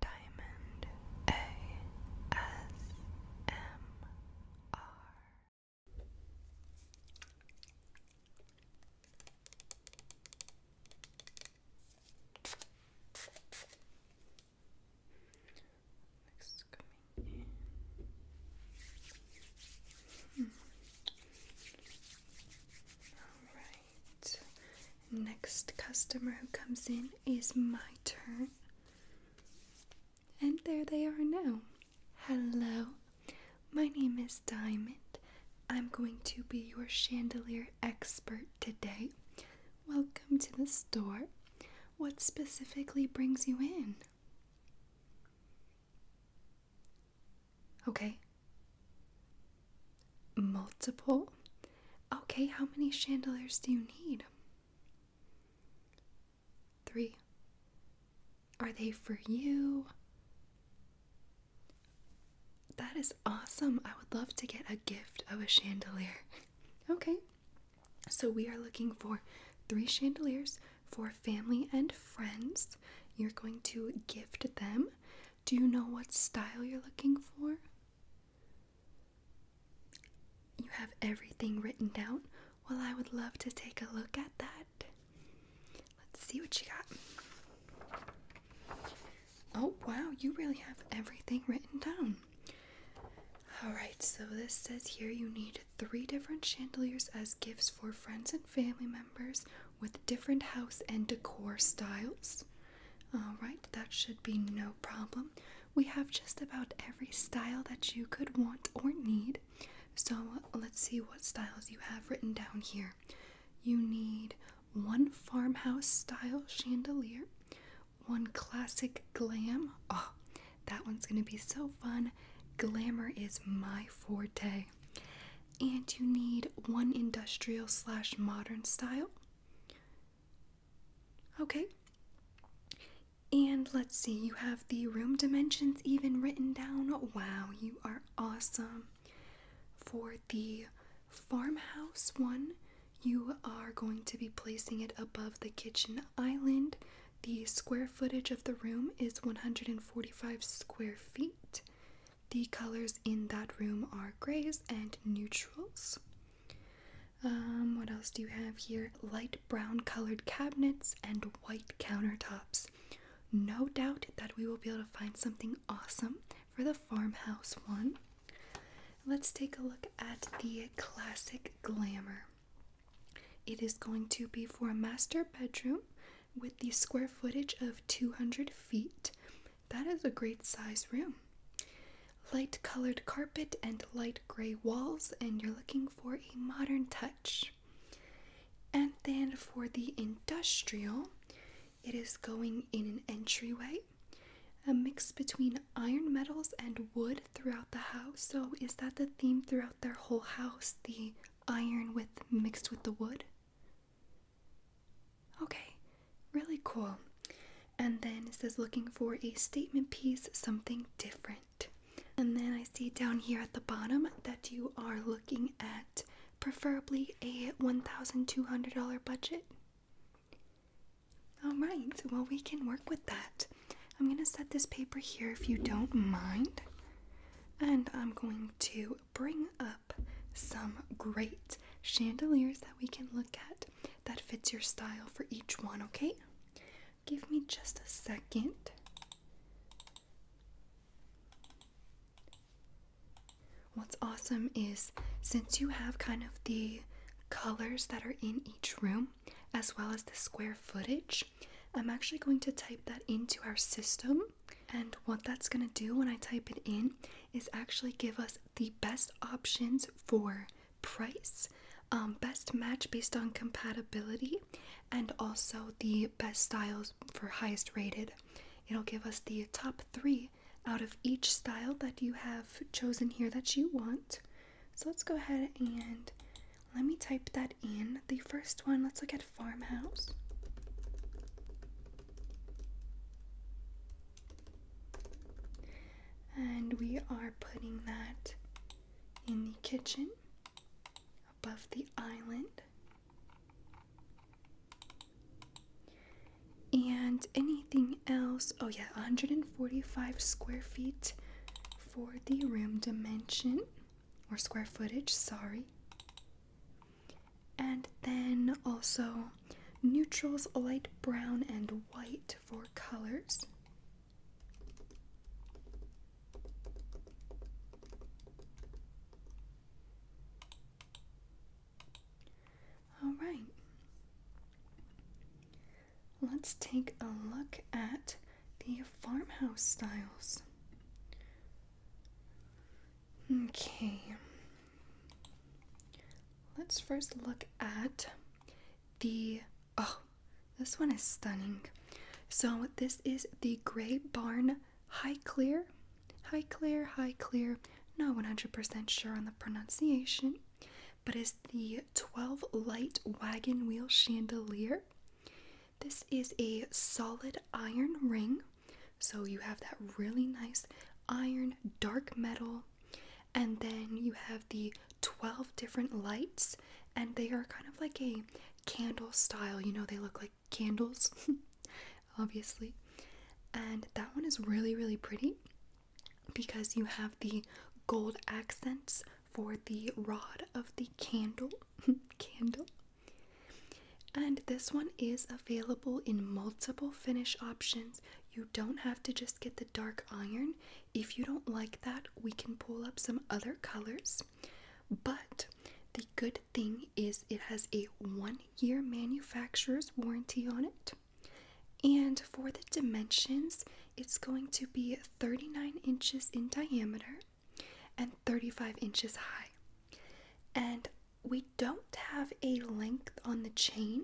Diamond ASMR. Next coming hmm. All right. Next customer who comes in is my turn. And there they are now. Hello, my name is Diamond. I'm going to be your chandelier expert today. Welcome to the store. What specifically brings you in? Okay. Multiple? Okay, how many chandeliers do you need? Three. Are they for you? That is awesome. I would love to get a gift of a chandelier. okay, so we are looking for three chandeliers for family and friends. You're going to gift them. Do you know what style you're looking for? You have everything written down? Well, I would love to take a look at that. Let's see what you got. Oh, wow, you really have everything written down. Alright, so this says here you need three different chandeliers as gifts for friends and family members with different house and decor styles. Alright, that should be no problem. We have just about every style that you could want or need. So let's see what styles you have written down here. You need one farmhouse style chandelier, one classic glam. Oh, that one's gonna be so fun. Glamour is my forte. And you need one industrial slash modern style, Okay. And let's see, you have the room dimensions even written down. Wow, you are awesome. For the farmhouse one, you are going to be placing it above the kitchen island. The square footage of the room is 145 square feet. The colors in that room are grays and neutrals. Um, what else do you have here? Light brown colored cabinets and white countertops. No doubt that we will be able to find something awesome for the farmhouse one. Let's take a look at the classic glamour. It is going to be for a master bedroom with the square footage of 200 feet. That is a great size room. Light colored carpet and light gray walls, and you're looking for a modern touch. And then for the industrial, it is going in an entryway, a mix between iron metals and wood throughout the house. So, is that the theme throughout their whole house? The iron with mixed with the wood? Okay, really cool. And then it says looking for a statement piece, something different. And then I see down here at the bottom that you are looking at preferably a $1,200 budget. All right, well, we can work with that. I'm going to set this paper here if you don't mind. And I'm going to bring up some great chandeliers that we can look at that fits your style for each one, okay? Give me just a second. What's awesome is since you have kind of the colors that are in each room as well as the square footage, I'm actually going to type that into our system. And what that's going to do when I type it in is actually give us the best options for price, um, best match based on compatibility, and also the best styles for highest rated. It'll give us the top three out of each style that you have chosen here that you want. So let's go ahead and let me type that in. The first one, let's look at farmhouse. And we are putting that in the kitchen above the island. And anything else? Oh, yeah, 145 square feet for the room dimension or square footage, sorry. And then also neutrals, light brown and white for colors. All right. Let's take a look at the farmhouse styles. Okay. Let's first look at the. Oh, this one is stunning. So, this is the Grey Barn High Clear. High Clear, High Clear. Not 100% sure on the pronunciation, but is the 12 light wagon wheel chandelier. This is a solid iron ring so you have that really nice iron dark metal, and then you have the 12 different lights, and they are kind of like a candle style. You know, they look like candles, obviously. And that one is really, really pretty because you have the gold accents for the rod of the candle. candle. And this one is available in multiple finish options. You don't have to just get the dark iron. If you don't like that, we can pull up some other colors. But the good thing is it has a one year manufacturer's warranty on it. And for the dimensions, it's going to be 39 inches in diameter and 35 inches high. And we don't have a length on the chain.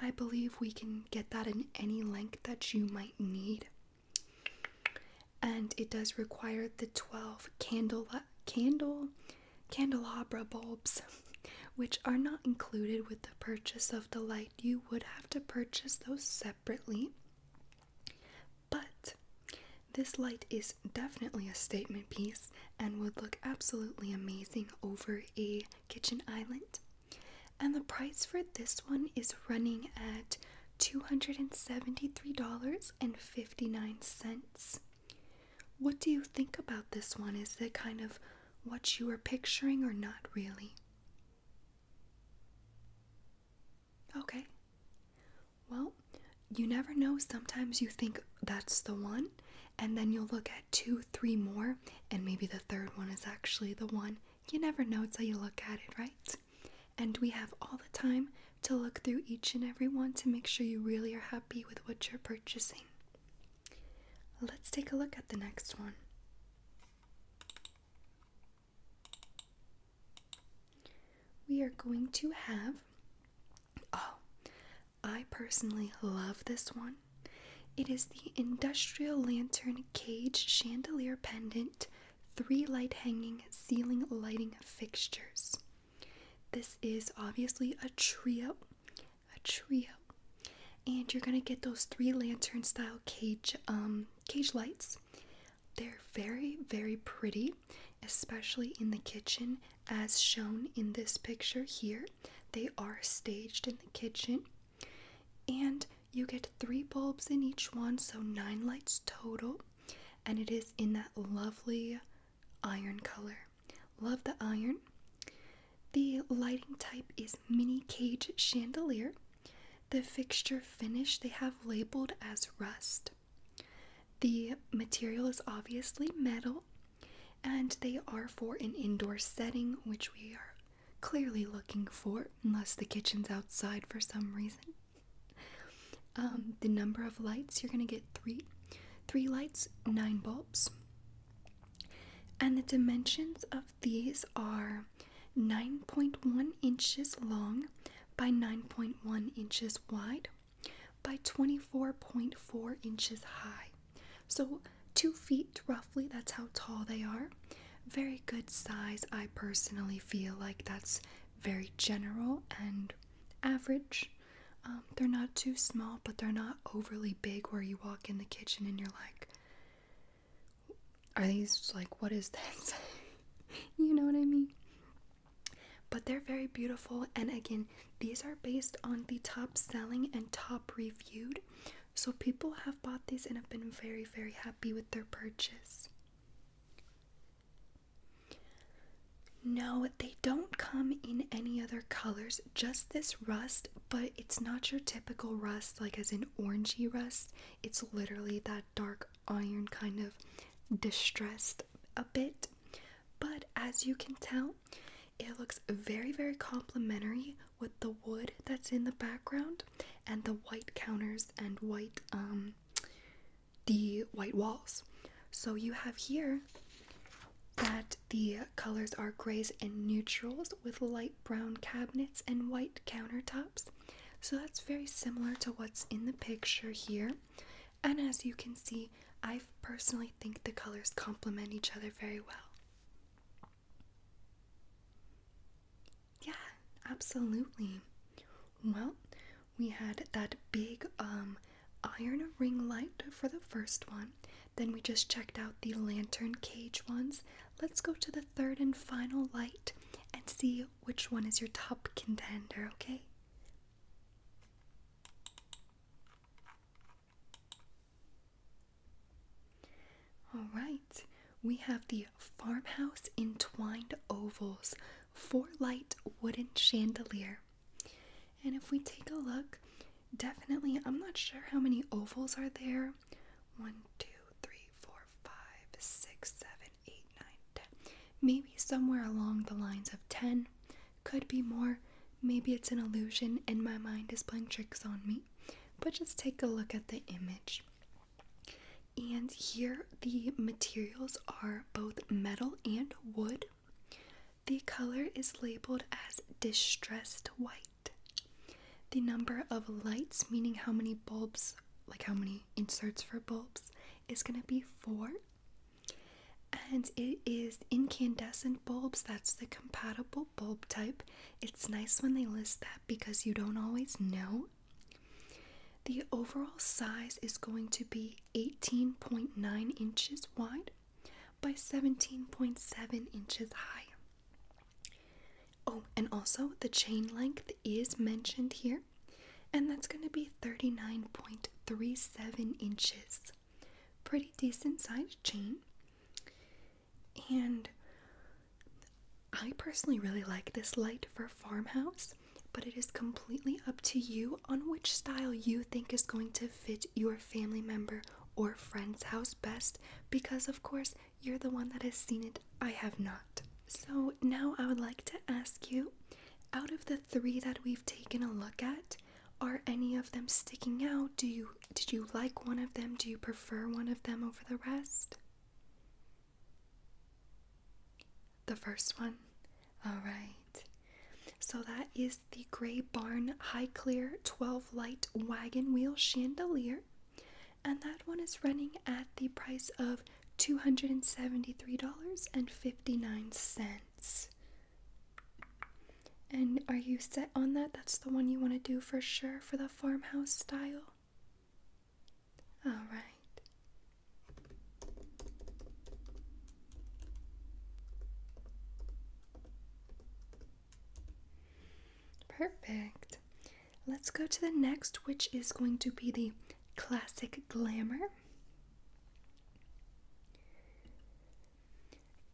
I believe we can get that in any length that you might need. And it does require the 12 candle candle candelabra bulbs which are not included with the purchase of the light. You would have to purchase those separately. But this light is definitely a statement piece and would look absolutely amazing over a kitchen island. And the price for this one is running at $273.59. What do you think about this one? Is it kind of what you were picturing or not really? Okay. Well, you never know. Sometimes you think that's the one, and then you'll look at two, three more, and maybe the third one is actually the one. You never know until you look at it, right? And we have all the time to look through each and every one to make sure you really are happy with what you're purchasing. Let's take a look at the next one. We are going to have Oh, I personally love this one. It is the industrial lantern cage chandelier pendant, three light hanging ceiling lighting fixtures. This is obviously a trio, a trio, and you're gonna get those three lantern style cage um cage lights. They're very very pretty especially in the kitchen, as shown in this picture here. They are staged in the kitchen, and you get three bulbs in each one, so nine lights total. And it is in that lovely iron color. Love the iron. The lighting type is mini cage chandelier. The fixture finish they have labeled as rust. The material is obviously metal, and they are for an indoor setting, which we are clearly looking for, unless the kitchen's outside for some reason. Um, the number of lights you're gonna get three, three lights, nine bulbs, and the dimensions of these are 9.1 inches long by 9.1 inches wide by 24.4 inches high. So, two feet roughly, that's how tall they are. Very good size. I personally feel like that's very general and average. Um, they're not too small, but they're not overly big where you walk in the kitchen and you're like, are these like, what is this? you know what I mean? But they're very beautiful, and again, these are based on the top selling and top reviewed. So people have bought these and have been very, very happy with their purchase. No, they don't come in any other colors, just this rust, but it's not your typical rust, like as in orangey rust. It's literally that dark iron kind of distressed a bit. But as you can tell, it looks very, very complementary with the wood that's in the background and the white counters and white um the white walls. So you have here that the colors are grays and neutrals with light brown cabinets and white countertops. So that's very similar to what's in the picture here. And as you can see, I personally think the colors complement each other very well. Yeah, absolutely. Well, we had that big um, iron ring light for the first one. Then we just checked out the lantern cage ones. Let's go to the third and final light and see which one is your top contender, okay? All right, we have the farmhouse entwined ovals, four light wooden chandelier. And if we take a look, definitely, I'm not sure how many ovals are there. One, two, three, four, five, six, seven, eight, nine, ten. Maybe somewhere along the lines of ten. Could be more. Maybe it's an illusion and my mind is playing tricks on me. But just take a look at the image. And here the materials are both metal and wood. The color is labeled as distressed white. The number of lights, meaning how many bulbs, like how many inserts for bulbs, is going to be four. And it is incandescent bulbs. That's the compatible bulb type. It's nice when they list that because you don't always know. The overall size is going to be 18.9 inches wide by 17.7 inches high. Oh, and also the chain length is mentioned here and that's going to be 39.37 inches. Pretty decent size chain. And I personally really like this light for farmhouse, but it is completely up to you on which style you think is going to fit your family member or friend's house best because, of course, you're the one that has seen it. I have not. So now I would like to ask you out of the three that we've taken a look at, are any of them sticking out? Do you did you like one of them? Do you prefer one of them over the rest? The first one. All right. So that is the Gray Barn High Clear 12 light wagon wheel chandelier. And that one is running at the price of $273.59. And are you set on that? That's the one you want to do for sure for the farmhouse style? Alright. Perfect. Let's go to the next, which is going to be the classic glamour.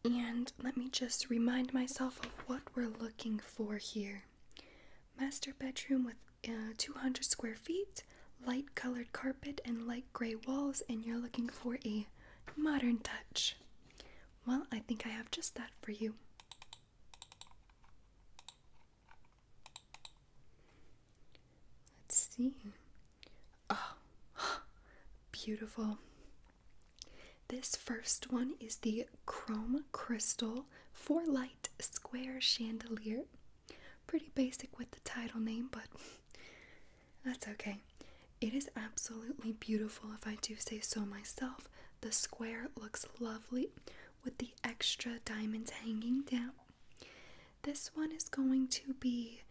And let me just remind myself of what we're looking for here. Master bedroom with uh, 200 square feet, light colored carpet, and light gray walls, and you're looking for a modern touch. Well, I think I have just that for you. Let's see. Oh, beautiful. This first one is the Chrome Crystal Four Light Square Chandelier. Pretty basic with the title name, but that's okay. It is absolutely beautiful, if I do say so myself. The square looks lovely with the extra diamonds hanging down. This one is going to be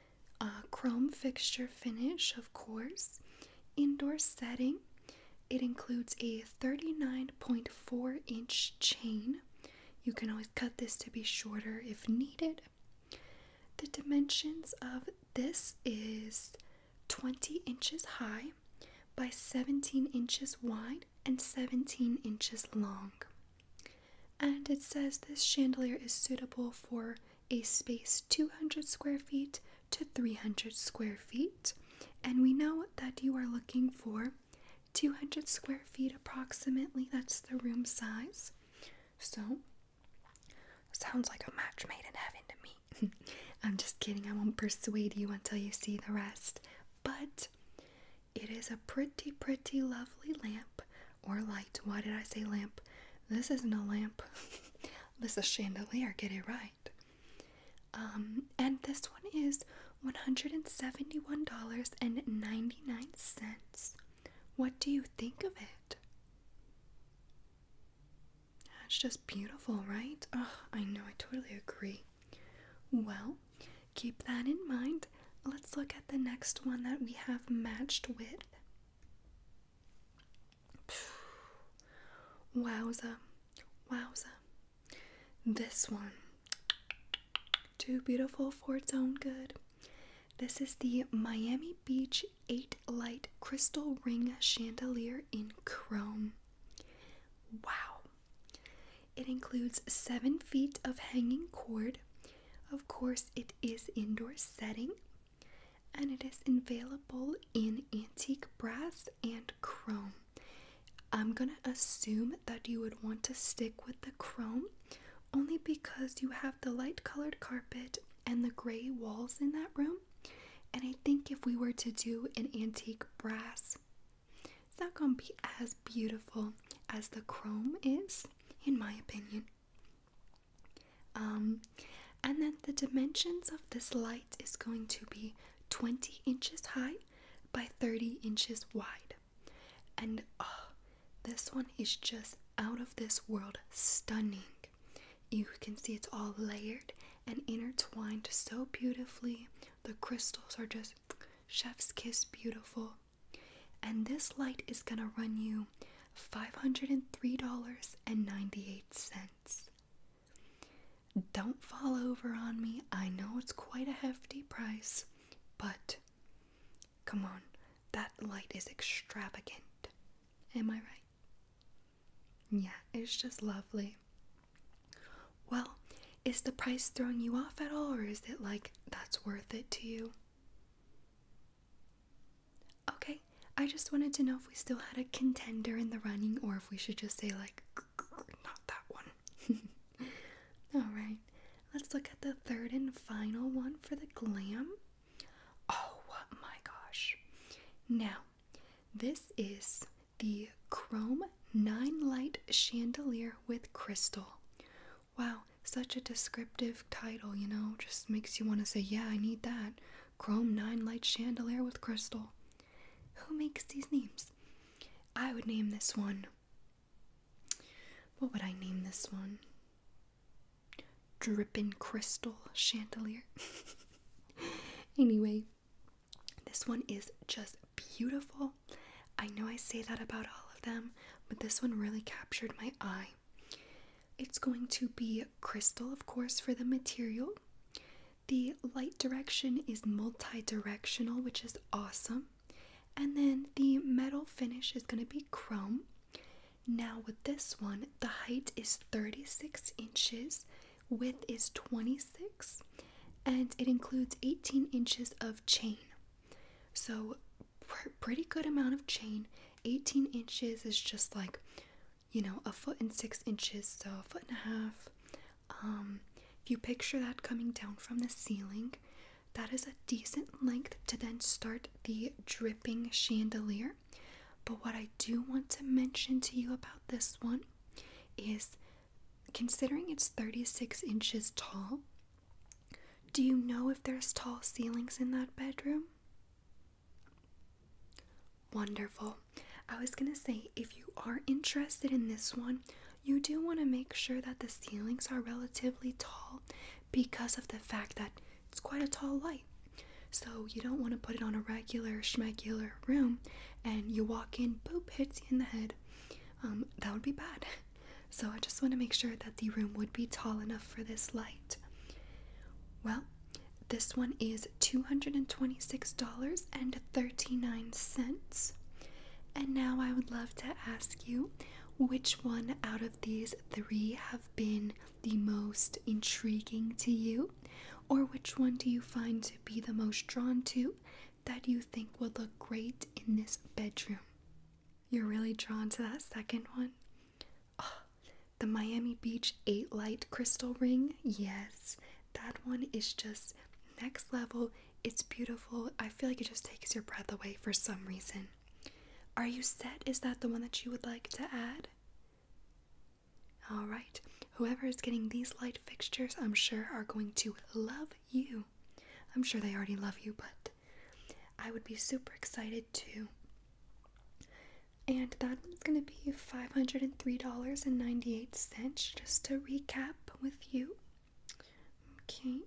a chrome fixture finish, of course, indoor setting. It includes a 39.4 inch chain. You can always cut this to be shorter if needed. The dimensions of this is 20 inches high by 17 inches wide and 17 inches long. And it says this chandelier is suitable for a space 200 square feet to 300 square feet. And we know that you are looking for 200 square feet approximately. That's the room size. So, sounds like a match made in heaven to me. I'm just kidding. I won't persuade you until you see the rest. But it is a pretty, pretty lovely lamp or light. Why did I say lamp? This isn't a lamp. this is a chandelier. Get it right. Um, and this one is $171.99. What do you think of it? It's just beautiful, right? Oh, I know, I totally agree. Well, keep that in mind. Let's look at the next one that we have matched with. Wowza, wowza. This one. Too beautiful for its own good. This is the Miami Beach 8 Light Crystal Ring Chandelier in Chrome. Wow. It includes seven feet of hanging cord. Of course, it is indoor setting and it is available in antique brass and chrome. I'm gonna assume that you would want to stick with the chrome only because you have the light colored carpet and the gray walls in that room. And I think if we were to do an antique brass it's not gonna be as beautiful as the chrome is, in my opinion. Um, and then the dimensions of this light is going to be 20 inches high by 30 inches wide. And oh, this one is just out of this world stunning. You can see it's all layered and intertwined so beautifully. The crystals are just chef's kiss beautiful. And this light is going to run you $503.98. Don't fall over on me. I know it's quite a hefty price, but come on, that light is extravagant. Am I right? Yeah, it's just lovely. Well, is the price throwing you off at all, or is it like that's worth it to you? Okay, I just wanted to know if we still had a contender in the running, or if we should just say, like, not that one. Alright, let's look at the third and final one for the glam. Oh my gosh. Now, this is the Chrome nine light chandelier with crystal. Wow, such a descriptive title, you know, just makes you want to say, Yeah, I need that. Chrome nine light chandelier with crystal. Who makes these names? I would name this one. What would I name this one? Dripping crystal chandelier. anyway, this one is just beautiful. I know I say that about all of them, but this one really captured my eye. It's going to be crystal, of course, for the material. The light direction is multi directional, which is awesome. And then the metal finish is going to be chrome. Now, with this one, the height is 36 inches, width is 26, and it includes 18 inches of chain. So, pretty good amount of chain. 18 inches is just like, you know, a foot and six inches, so a foot and a half. Um, if you picture that coming down from the ceiling, that is a decent length to then start the dripping chandelier. But what I do want to mention to you about this one is Considering it's 36 inches tall, do you know if there's tall ceilings in that bedroom? Wonderful. I was going to say if you are interested in this one, you do want to make sure that the ceilings are relatively tall because of the fact that it's quite a tall light. So you don't want to put it on a regular schmegular room and you walk in, boop, hits you in the head. Um, that would be bad. So I just want to make sure that the room would be tall enough for this light. Well, this one is $226.39. And now I would love to ask you which one out of these three have been the most intriguing to you, or which one do you find to be the most drawn to? that you think would look great in this bedroom. You're really drawn to that second one? the Miami Beach 8 light crystal ring? Yes, that one is just next level. It's beautiful. I feel like it just takes your breath away for some reason. Are you set? Is that the one that you would like to add? All right, whoever is getting these light fixtures, I'm sure, are going to love you. I'm sure they already love you, but I would be super excited too. And that one's gonna be $503.98, just to recap with you. Okay.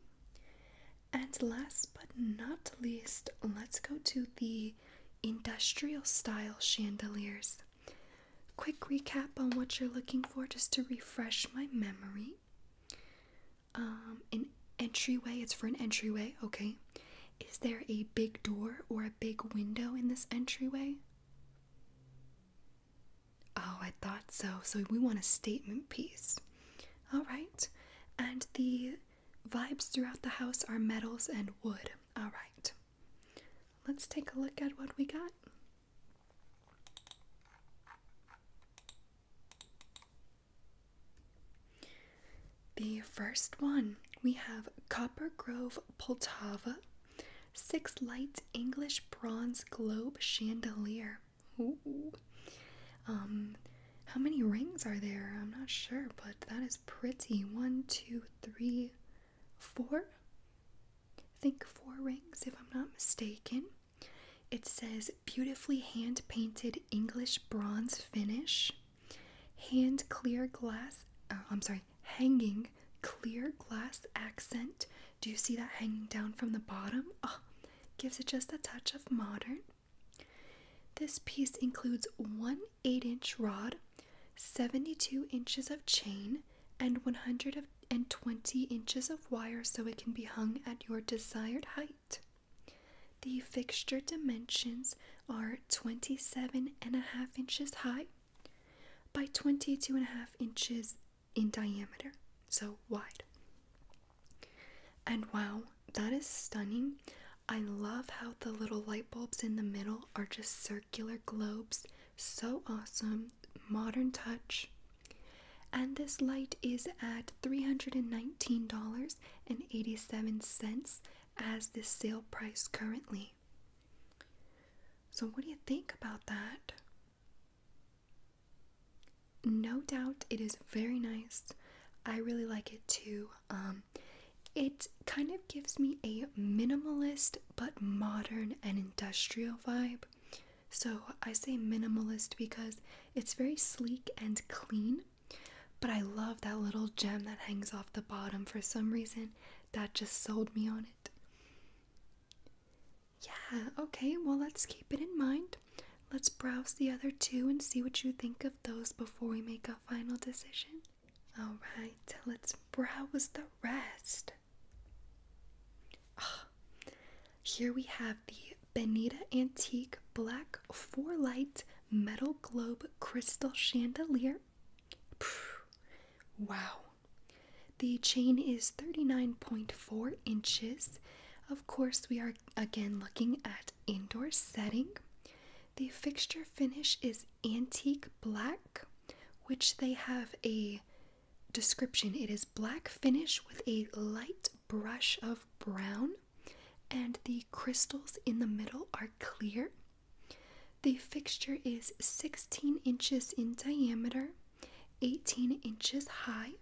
And last but not least, let's go to the industrial style chandeliers. Quick recap on what you're looking for, just to refresh my memory. Um, an entryway, it's for an entryway, okay. Is there a big door or a big window in this entryway? Oh, I thought so. So we want a statement piece. All right. And the vibes throughout the house are metals and wood. All right. Let's take a look at what we got. The first one we have Copper Grove Poltava, six light English bronze globe chandelier. Um, how many rings are there? I'm not sure, but that is pretty. One, two, three, four think four rings, if I'm not mistaken. It says beautifully hand painted English bronze finish, hand clear glass, uh, I'm sorry, hanging clear glass accent. Do you see that hanging down from the bottom? Ah, gives it just a touch of modern. This piece includes one 8 inch rod, 72 inches of chain, and 120 inches of wire so it can be hung at your desired height. The fixture dimensions are 27 and a half inches high by 22 and a half inches in diameter, so wide. And wow, that is stunning. I love how the little light bulbs in the middle are just circular globes so awesome, modern touch. And this light is at $319.87 as the sale price currently. So, what do you think about that? No doubt it is very nice. I really like it too. Um, it kind of gives me a minimalist but modern and industrial vibe. So I say minimalist because it's very sleek and clean, but I love that little gem that hangs off the bottom for some reason. That just sold me on it. Yeah, okay, well, let's keep it in mind. Let's browse the other two and see what you think of those before we make a final decision. Alright, let's browse the rest here we have the Benita Antique Black Four Light Metal Globe Crystal Chandelier. Wow. The chain is 39.4 inches. Of course, we are again looking at indoor setting. The fixture finish is antique black, which they have a Description It is black finish with a light brush of brown, and the crystals in the middle are clear. The fixture is 16 inches in diameter, 18 inches high,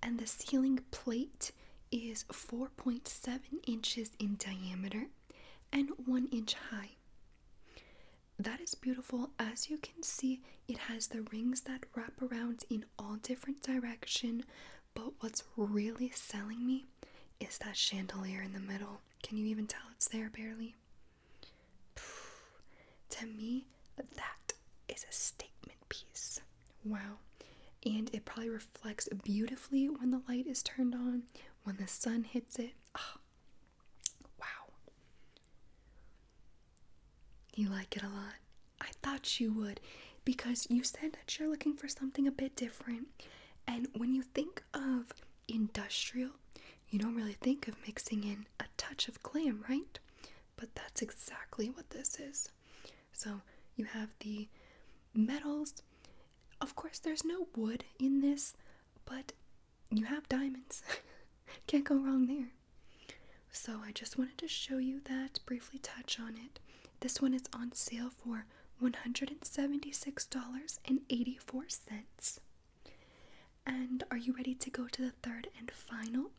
and the ceiling plate is 4.7 inches in diameter and 1 inch high. That is beautiful. As you can see, it has the rings that wrap around in all different direction, but what's really selling me is that chandelier in the middle. Can you even tell it's there barely? to me, that is a statement piece. Wow. And it probably reflects beautifully when the light is turned on, when the sun hits it. Ah, wow. You like it a lot? I thought you would because you said that you're looking for something a bit different. And when you think of industrial, you don't really think of mixing in a touch of glam, right? But that's exactly what this is. So you have the metals. Of course, there's no wood in this, but you have diamonds. Can't go wrong there. So I just wanted to show you that, briefly touch on it. This one is on sale for $176.84. And are you ready to go to the third and final?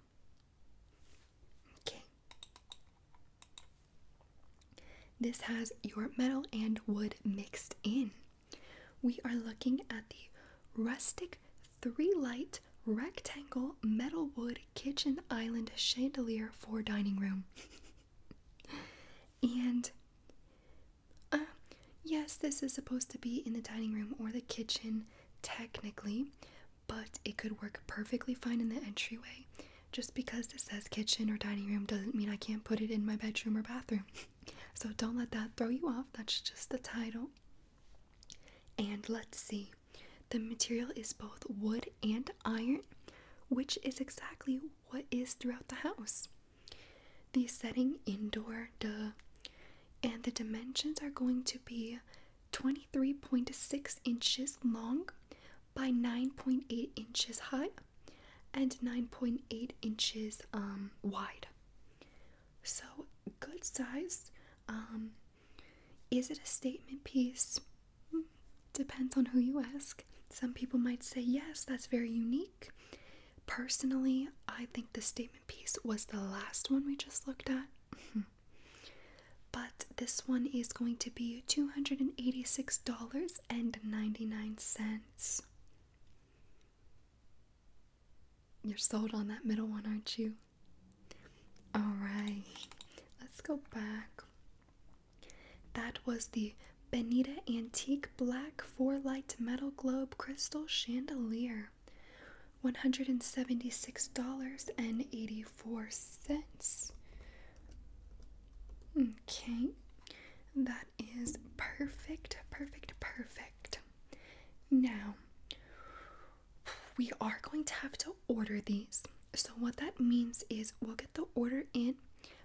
Okay. This has your metal and wood mixed in. We are looking at the rustic three light rectangle metal wood kitchen island chandelier for dining room. and uh, yes, this is supposed to be in the dining room or the kitchen technically, but it could work perfectly fine in the entryway. Just because it says kitchen or dining room doesn't mean I can't put it in my bedroom or bathroom. so don't let that throw you off. That's just the title. And let's see. The material is both wood and iron, which is exactly what is throughout the house. The setting indoor, duh. And the dimensions are going to be 23.6 inches long by 9.8 inches high and 9.8 inches um, wide. So, good size. Um, is it a statement piece? Hmm, depends on who you ask. Some people might say, yes, that's very unique. Personally, I think the statement piece was the last one we just looked at. but this one is going to be $286.99. You're sold on that middle one, aren't you? Alright, let's go back. That was the Benita Antique Black 4 Light Metal Globe Crystal Chandelier. $176.84. Okay, that is perfect, perfect, perfect. Now, we are going to have to order these. So, what that means is we'll get the order in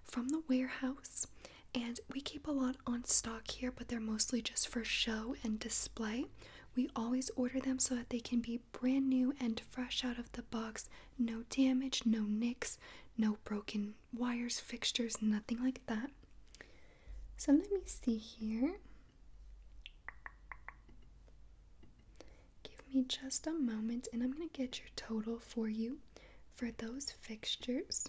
from the warehouse, and we keep a lot on stock here, but they're mostly just for show and display. We always order them so that they can be brand new and fresh out of the box, no damage, no nicks, no broken wires, fixtures, nothing like that. So let me see here. Give me just a moment and I'm going to get your total for you for those fixtures.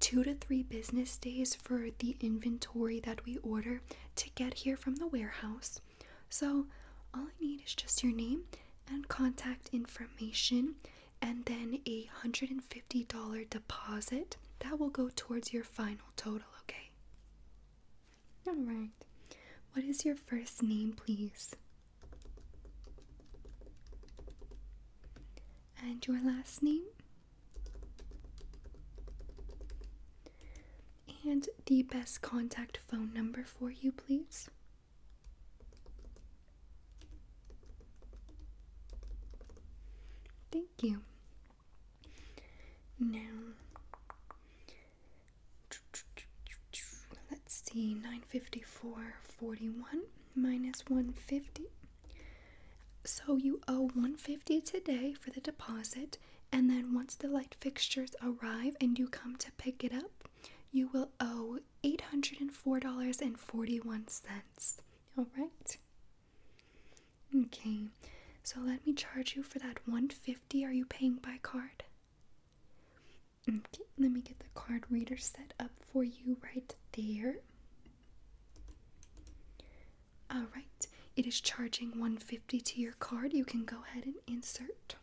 two to three business days for the inventory that we order to get here from the warehouse. So, all I need is just your name and contact information, and then a $150 deposit that will go towards your final total, okay? Alright. What is your first name, please? And your last name? And the best contact phone number for you, please. Thank you. Now, let's see, 954.41 minus 150 so you owe 150 today for the deposit and then once the light fixtures arrive and you come to pick it up, you will owe $804.41. All right? Okay. So let me charge you for that 150. Are you paying by card? Okay, let me get the card reader set up for you right there. Alright, it is charging 150 to your card. You can go ahead and insert.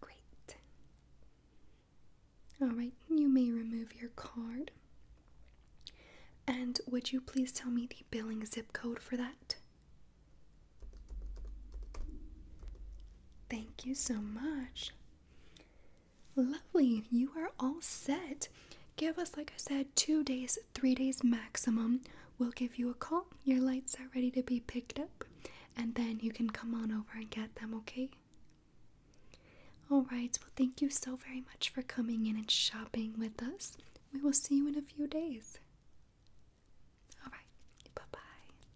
Great. Alright, you may remove your card. And would you please tell me the billing zip code for that? Thank you so much. Lovely, you are all set. Give us, like I said, two days, three days maximum. We'll give you a call. Your lights are ready to be picked up, and then you can come on over and get them, okay? All right, well, thank you so very much for coming in and shopping with us. We will see you in a few days. All right, bye bye.